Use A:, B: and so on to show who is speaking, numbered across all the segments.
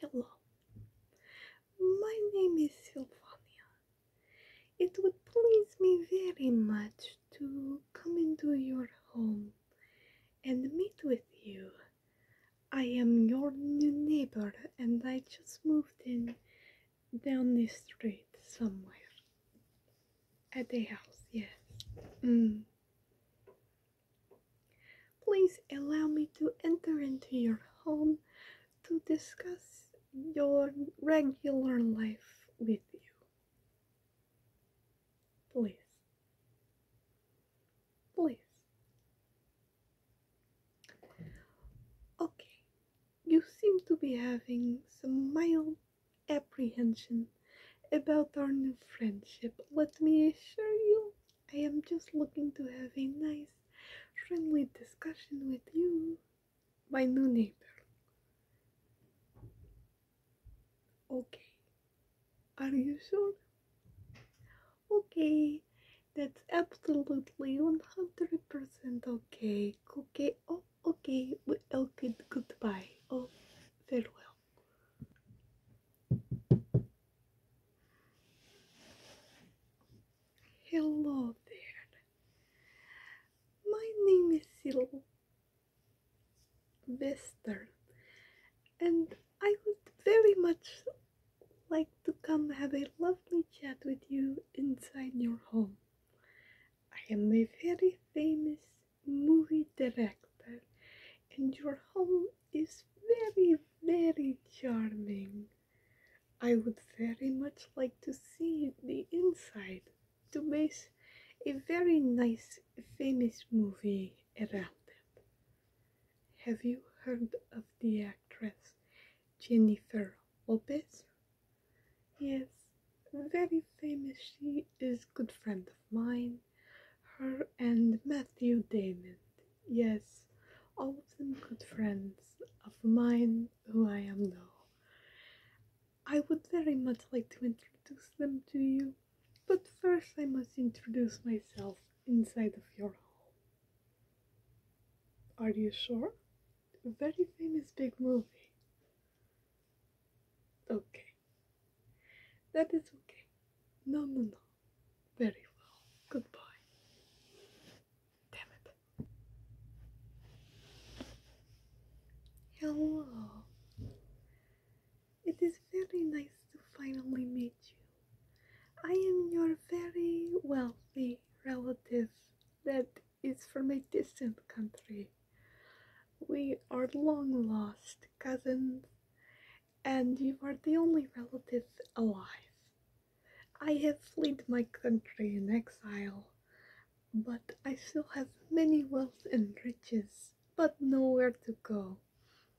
A: Hello, my name is Silvania. It would please me very much to come into your home and meet with you. I am your new neighbor and I just moved in down this street somewhere. At the house, yes. Mm. Please allow me to enter into your home to discuss your regular life with you. Please. Please. Okay, you seem to be having some mild apprehension about our new friendship. Let me assure you, I am just looking to have a nice, friendly discussion with you, my new neighbor. Okay. Are you sure? Okay. That's absolutely 100% okay. Okay. Okay. Oh, Okay, well, oh, good, goodbye. Oh, farewell. Hello there. My name is Syl and I would very much like to come have a lovely chat with you inside your home. I am a very famous movie director, and your home is very, very charming. I would very much like to see the inside to make a very nice, famous movie around it. Have you heard of the actress Jennifer Lopez? Yes, very famous. She is good friend of mine. Her and Matthew Damon. Yes, all of them good friends of mine who I am now. I would very much like to introduce them to you, but first I must introduce myself inside of your home. Are you sure? very famous big movie. Okay. That is okay. No, no, no. Very well. Goodbye. Damn it. Hello. It is very nice to finally meet you. I am your very wealthy relative that is from a distant country. We are long lost cousins, and you are the only relative alive. I have fled my country in exile, but I still have many wealth and riches, but nowhere to go.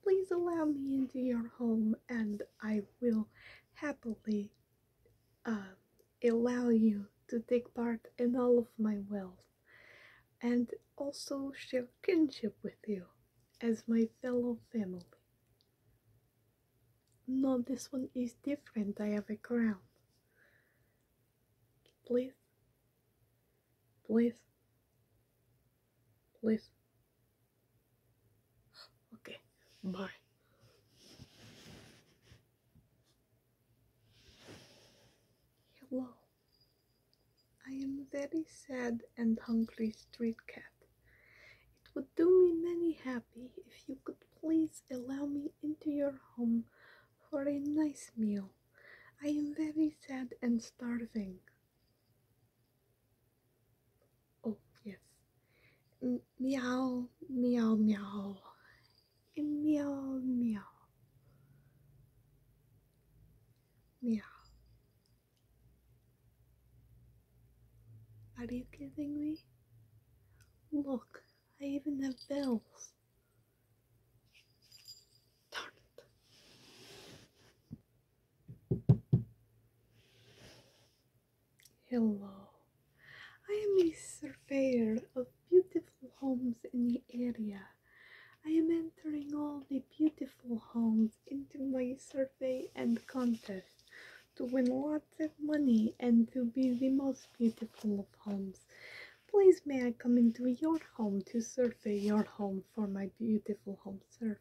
A: Please allow me into your home, and I will happily uh, allow you to take part in all of my wealth and also share kinship with you as my fellow family. No, this one is different. I have a crown. Please, please, please, Okay, bye. Hello. I am a very sad and hungry street cat. It would do me many happy if you could please allow me into your home for a nice meal. I am very sad and starving. Oh, yes meow, meow, meow, and meow, meow, meow. Are you kidding me? Look, I even have bells. Darn it. Hello, I am a surveyor of beautiful homes in the area. I am entering all the beautiful homes into my survey and contest to win lots of money and to be the most beautiful of homes. Please may I come into your home to survey your home for my beautiful home survey?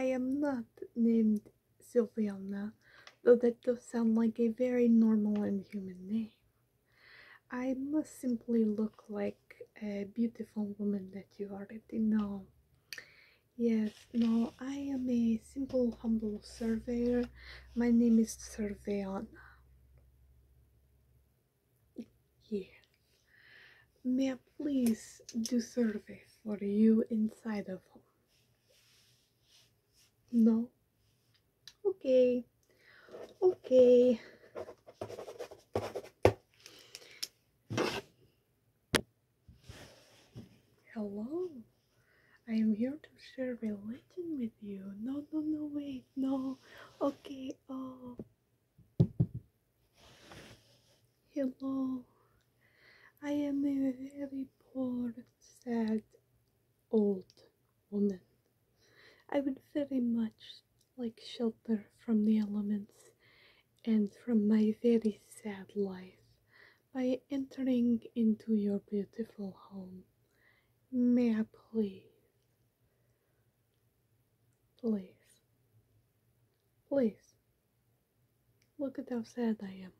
A: I am not named Silviana, though that does sound like a very normal and human name. I must simply look like a beautiful woman that you already know. Yes, no, I am a simple, humble surveyor. My name is Surveyana. Yeah. May I please do survey for you inside of home? No? Okay. Okay. Hello. I am here to share religion with you. No, no, no, wait, no. Okay, oh. Hello, I am a very poor, sad, old woman. I would very much like shelter from the elements and from my very sad life by entering into your beautiful home. May I please? Please. Please. Look at how sad I am.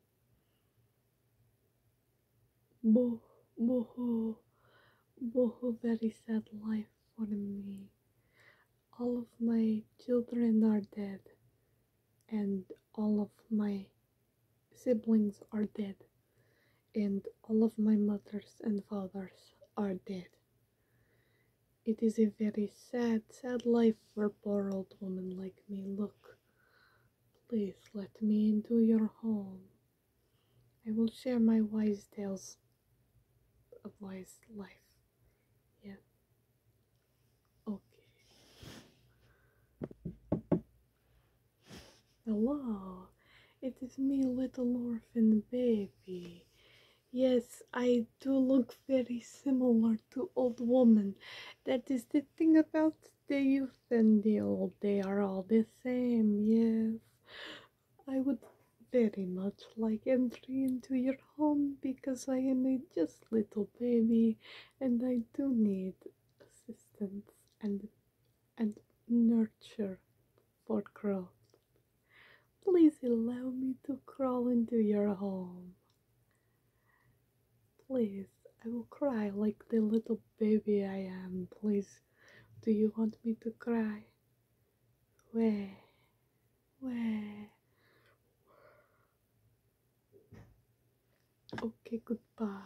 A: Boho, boho, boho, very sad life for me. All of my children are dead, and all of my siblings are dead, and all of my mothers and fathers are dead, it is a very sad, sad life for a poor old woman like me. Look, please let me into your home. I will share my wise tales of wise life. Yeah. Okay. Hello, it is me, little orphan baby. Yes, I do look very similar to old woman. That is the thing about the youth and the old. They are all the same, yes. I would very much like entry into your home because I am a just little baby and I do need assistance and and nurture for growth. Please allow me to crawl into your home. Please, I will cry like the little baby I am. Please, do you want me to cry? Where? Where? Okay, goodbye.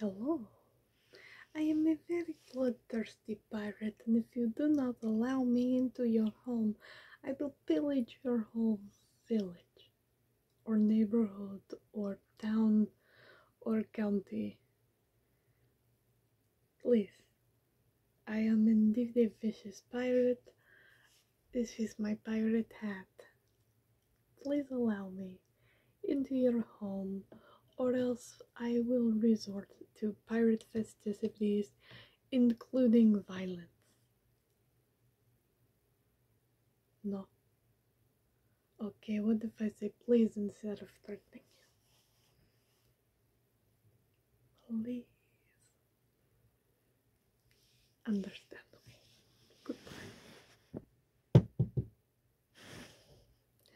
A: Hello. I am a very bloodthirsty pirate, and if you do not allow me into your home, I will pillage your home, village, or neighborhood, or town, or county. Please, I am indeed a vicious pirate. This is my pirate hat. Please allow me into your home, or else I will resort to pirate festivities, including violence. No. Okay, what if I say please instead of threatening you? Please. Understand me. Goodbye.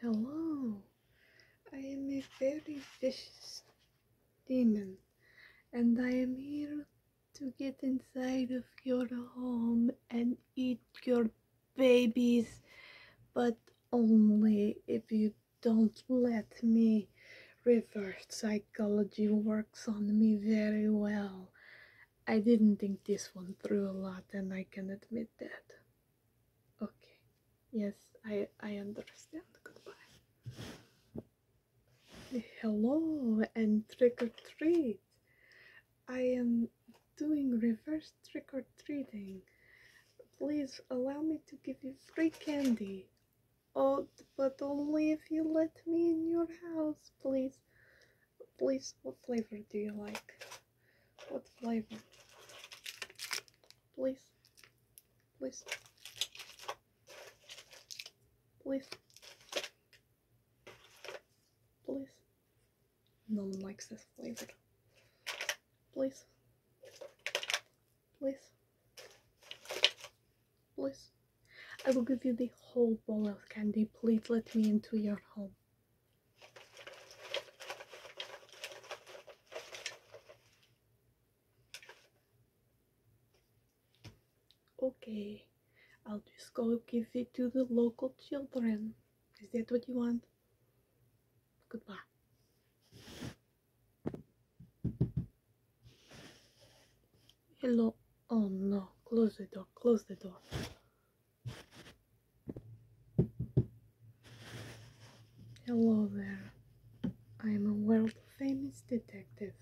A: Hello, I am a very vicious demon, and I am here to get inside of your home and eat your babies, but only if you don't let me. Reverse psychology works on me very well, I didn't think this one through a lot, and I can admit that. Okay. Yes, I I understand. Goodbye. Hello and trick or treat. I am doing reverse trick or treating. Please allow me to give you free candy. Oh, but only if you let me in your house, please. Please, what flavor do you like? What flavor? Please, please, please, please. No one likes this flavor. Please, please, please. I will give you the whole bowl of candy. Please let me into your home. Okay, I'll just go give it to the local children. Is that what you want? Goodbye. Hello. Oh no, close the door, close the door. Hello there. I am a world famous detective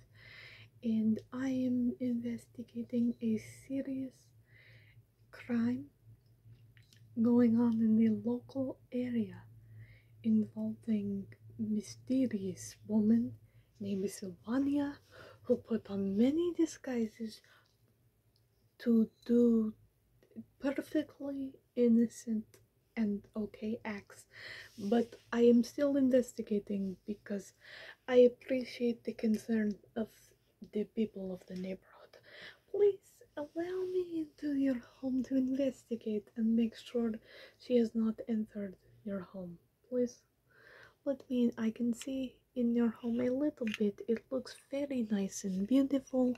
A: and I am investigating a serious crime going on in the local area involving mysterious woman Name is Ivania, who put on many disguises to do perfectly innocent and okay acts. But I am still investigating because I appreciate the concern of the people of the neighborhood. Please allow me into your home to investigate and make sure she has not entered your home please let me I can see in your home a little bit. It looks very nice and beautiful.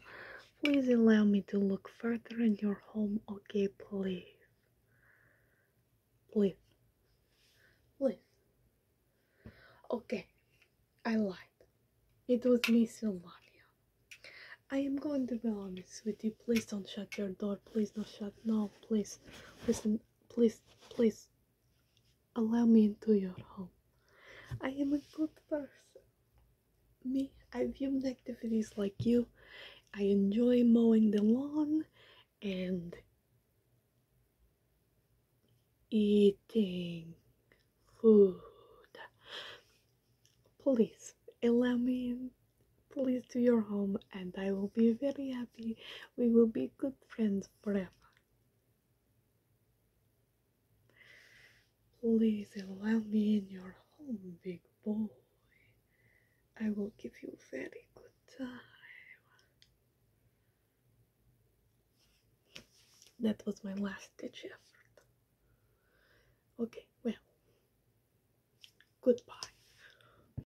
A: Please allow me to look further in your home, okay? Please, please, please. Okay, I lied. It was me, Sylvania. I am going to be honest with you. Please don't shut your door. Please don't shut. No, please. Listen, please, please. Allow me into your home. I am a good person. Me, I view activities like you. I enjoy mowing the lawn and eating food. Please allow me Please to your home, and I will be very happy. We will be good friends forever. Please allow me in your home, big boy. I will give you a very good time. That was my last ditch effort. Okay, well, goodbye.